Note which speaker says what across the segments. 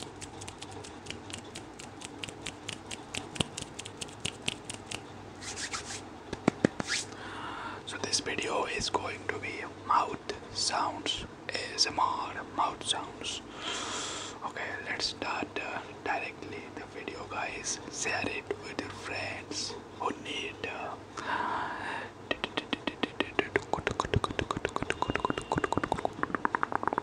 Speaker 1: So this video is going to be mouth sounds more mouth sounds. Okay, let's start uh, directly the video, guys. Share it with your friends who need. Uh,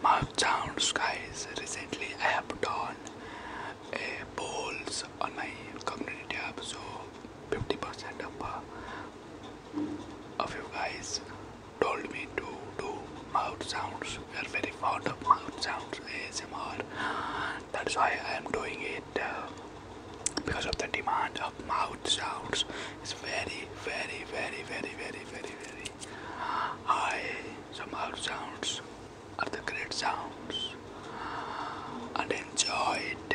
Speaker 1: Mouth sounds, guys. Recently, I have done eh, a polls on my community app, so 50% of, uh, of you guys told me to do mouth sounds. We are very fond of mouth sounds ASMR. That's why I am doing it uh, because of the demand of mouth sounds. It's very, very, very, very, very, very, very high. Some mouth sounds are the great sounds and enjoy it.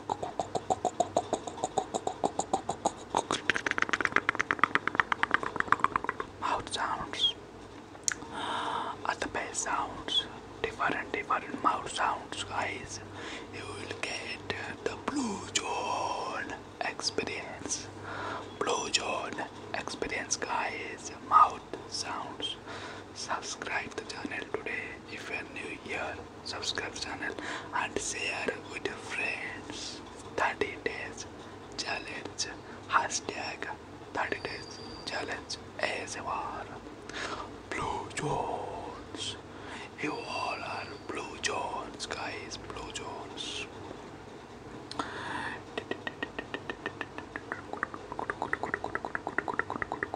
Speaker 1: Mouth sounds. the best sounds, different different mouth sounds, guys. You will get the blue zone experience. Blue zone experience, guys. Mouth sounds. Subscribe the channel today if you are new here subscribe channel and share with friends 30 days challenge hashtag 30 days challenge ASMR Blue Jones you all are Blue Jones guys Blue Jones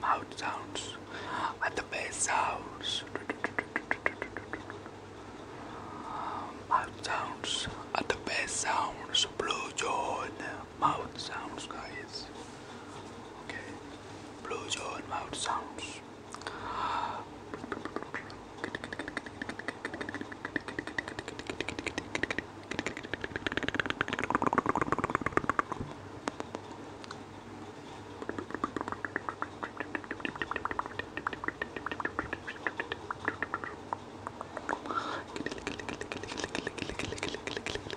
Speaker 1: Mouth sounds and the bass sounds. Mouth sounds at the best sounds. Blue John mouth sounds guys okay blue jaw mouth sounds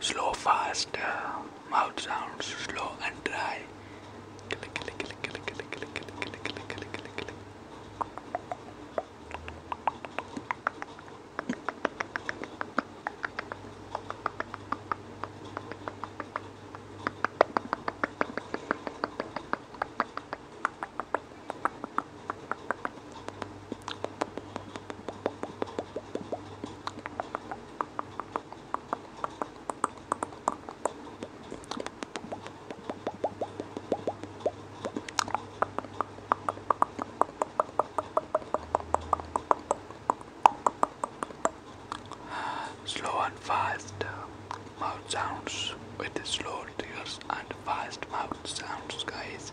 Speaker 1: Slow, fast, mouth sounds, slow and dry. Slow and fast uh, mouth sounds with slow tears and fast mouth sounds, guys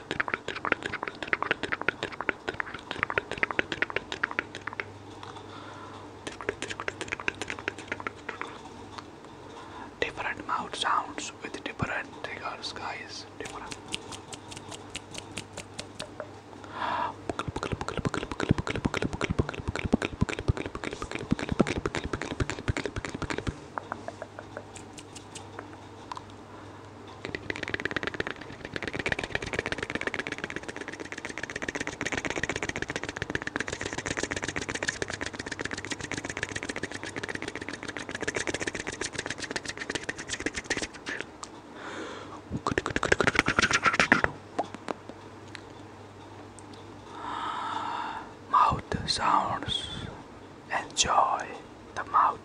Speaker 1: Different mouth sounds with different triggers, guys. Different. Mouth sounds. Enjoy the mouth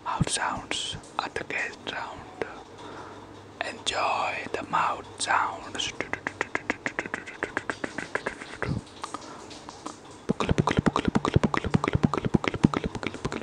Speaker 1: Mouth sounds at the gate round. Enjoy the mouth sounds. Pukul, pukul, pukul, pukul, pukul, pukul, pukul, pukul, pukul, pukul, pukul, pukul,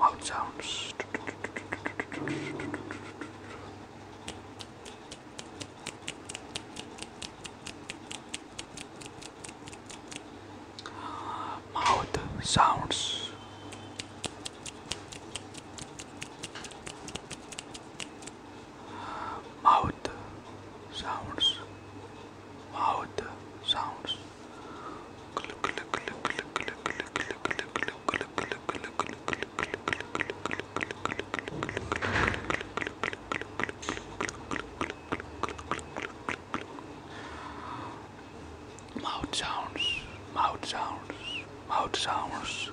Speaker 1: Loud sounds. Mouth sounds mouth sounds mouth sounds mouth sounds mouth sounds mouth sounds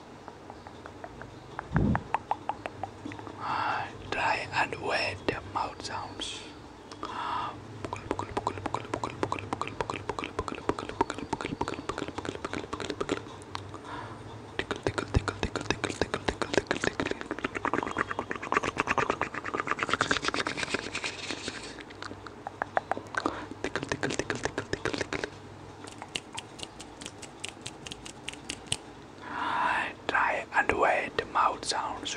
Speaker 1: Dry and wet mouth sounds. Tickle, tickle, tickle, tickle, tickle, tickle, tickle, tickle, tickle. Tickle, tickle, tickle, tickle, tickle, tickle. Try and wait the mouth sounds.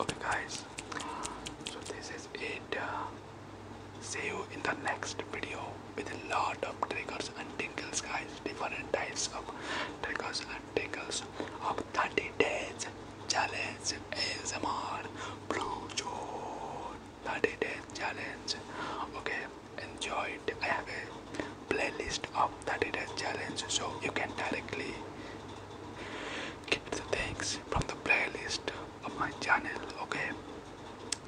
Speaker 1: Okay, guys. So this is it. Uh, see you in the next video with a lot of triggers and tingles, guys. Different types of triggers and tingles of 30 days challenge ASMR Blue Joe 30 days challenge. Okay, enjoy it playlist of 30 days challenge so you can directly get the things from the playlist of my channel okay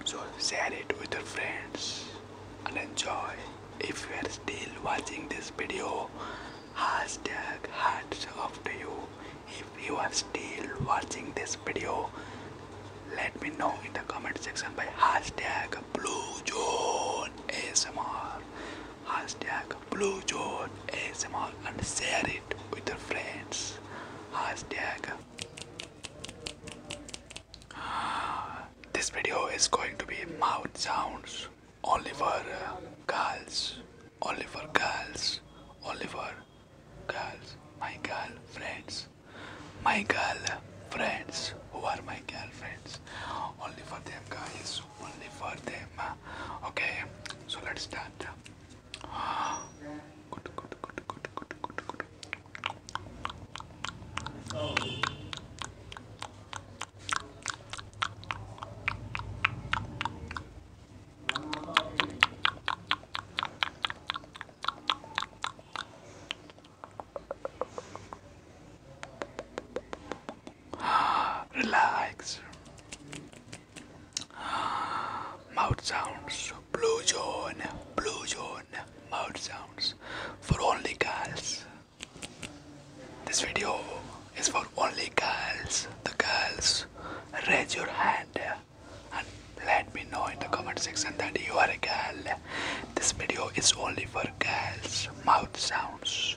Speaker 1: so share it with your friends and enjoy if you are still watching this video hashtag hats off to you if you are still watching this video let me know in the comment section by hashtag Blue John ASMR. Hashtag Blue John ASMR and share it with your friends. Hashtag. This video is going to be mouth sounds Oliver uh, girls, Oliver girls, Oliver girls, my girl friends, my girl friends who are my girlfriends. Only for them, guys. Only for them. Ah. Okay, so let's start. Relax. Mouth sounds. Blue zone. Blue zone. Mouth sounds for only girls. This video is for only girls. The girls, raise your hand and let me know in the comment section that you are a girl this video is only for girls' mouth sounds.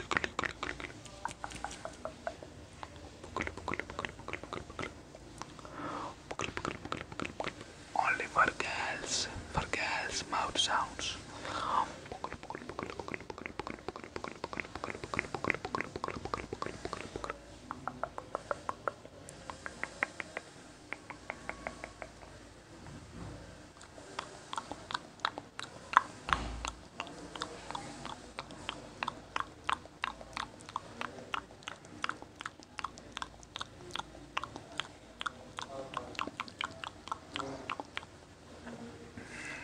Speaker 1: Only for girls, for girls, mouth sounds.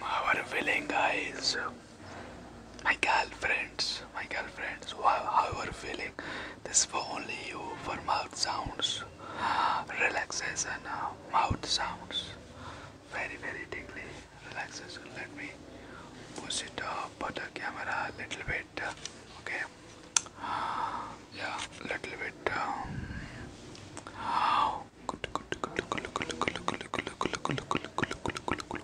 Speaker 1: Our feeling is my girlfriends, my girlfriends, how are feeling? This for only you for mouth sounds, relaxation, uh, mouth sounds very very deeply. relaxation let me push it up but the camera a little bit okay yeah little bit um, good good good good good good good good good good good good good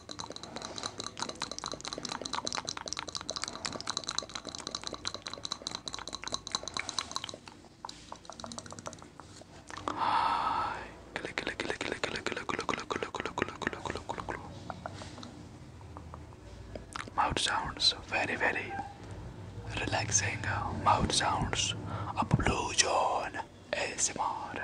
Speaker 1: Mouth sounds very very relaxing. Mouth sounds of Blue John more.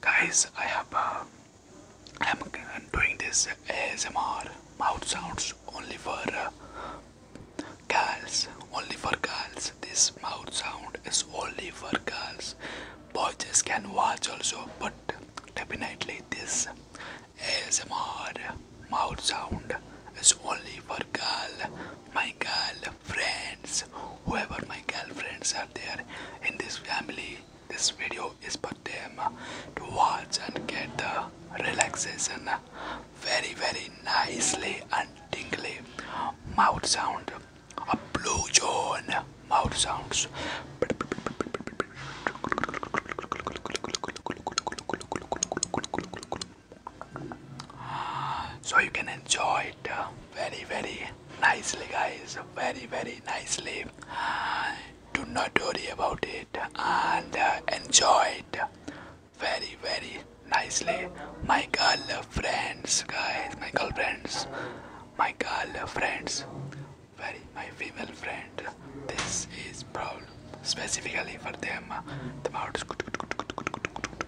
Speaker 1: Guys, I am uh, doing this ASMR mouth sounds only for uh, girls, only for girls. This mouth sound is only for girls. Boys can watch also, but definitely this ASMR mouth sound is only for girl my girlfriends, whoever my girlfriends are there in this family, this video is for them to watch and get the relaxation very very nicely and dingly mouth sound a blue zone mouth sounds so you can enjoy it uh, very very nicely guys very very nicely do not worry about it and uh, enjoy it very very nicely my friends, guys my friends, my friends. very my female friend this is proud, specifically for them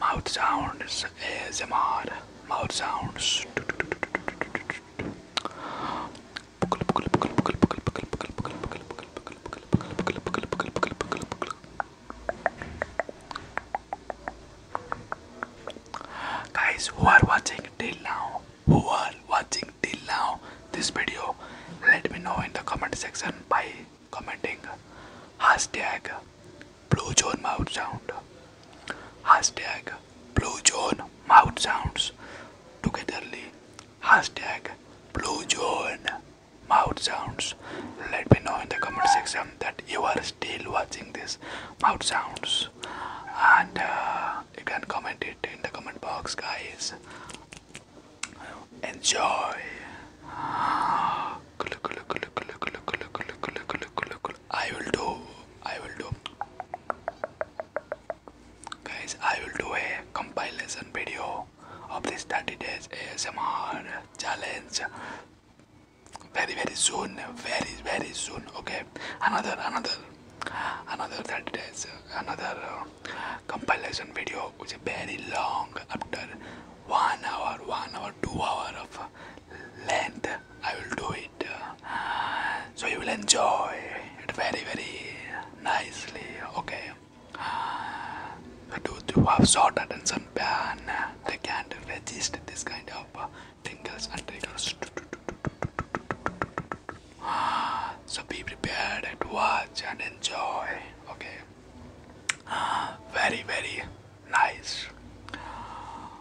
Speaker 1: Mouth sounds is ASMR mouth sounds. Guys, who are watching till now? Who are watching till now this video? Let me know in the comment section by commenting hashtag Blue Zone mouth sound. Hashtag Blue Zone mouth sounds. Togetherly. Hashtag Blue Zone mouth sounds. Let me know in the comment section that you are still watching this mouth sounds. And uh, you can comment it in the comment box, guys. Enjoy. I will do. I will do guys I will do a compilation video of this 30 days ASMR challenge very very soon very very soon okay another another another 30 days another uh, compilation video which is very long after one hour one hour two hour of length I will do it. So you will enjoy it very, very nicely. Okay. Those who have short attention span, can't resist this kind of uh, tingles and triggers. So be prepared and watch and enjoy. Okay. Very, very nice.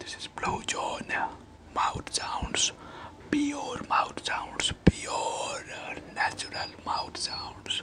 Speaker 1: This is Blue John. Mouth sounds, pure mouth sounds, pure natural mouth sounds.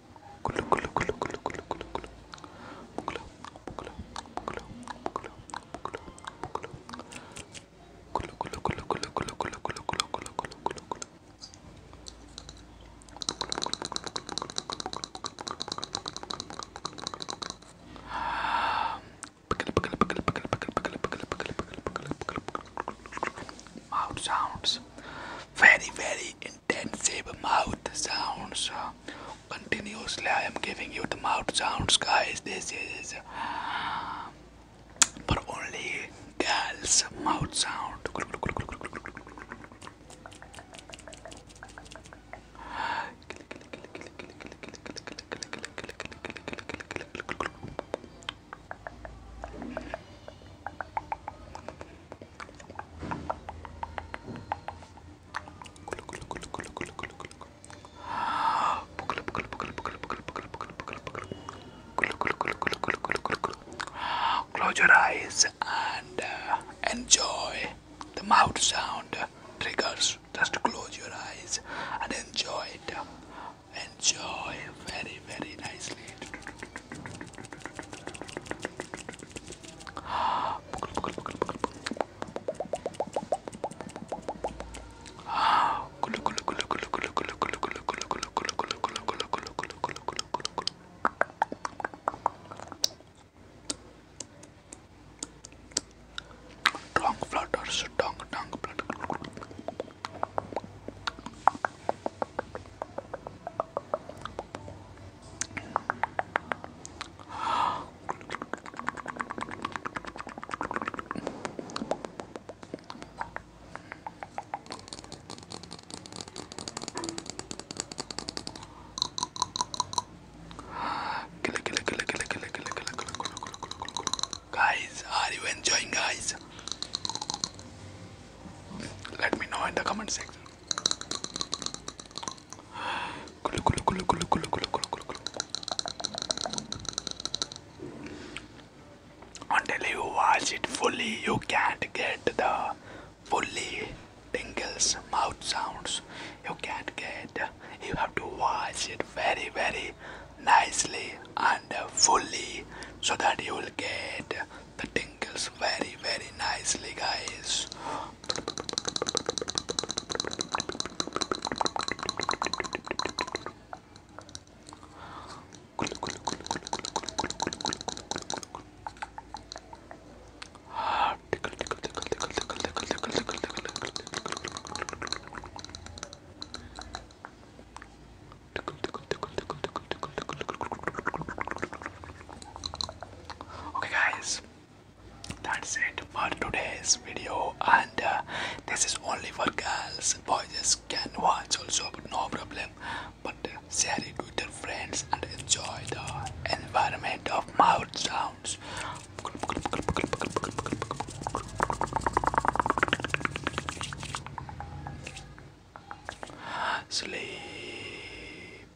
Speaker 1: Mouth sounds very, very intensive mouth sounds. Continuously, I am giving you the mouth sounds, guys. This is for only girls' mouth sound. Close your eyes and uh, enjoy the mouth sound triggers. Just close your eyes and enjoy it. Enjoy very, very nicely. Tongue flutters, tongue, tongue flutter. Guys, are you enjoying, guys? Let me know in the comment section. Until you watch it fully, you can't get the fully tingles mouth sounds. You can't get. You have to watch it very, very nicely and fully so that you will get the tingles very very nicely guys Okay guys, that's it for today's video and uh, this is only for girls boys can watch also but no problem but uh, share it with your friends and enjoy the environment of mouth sounds sleep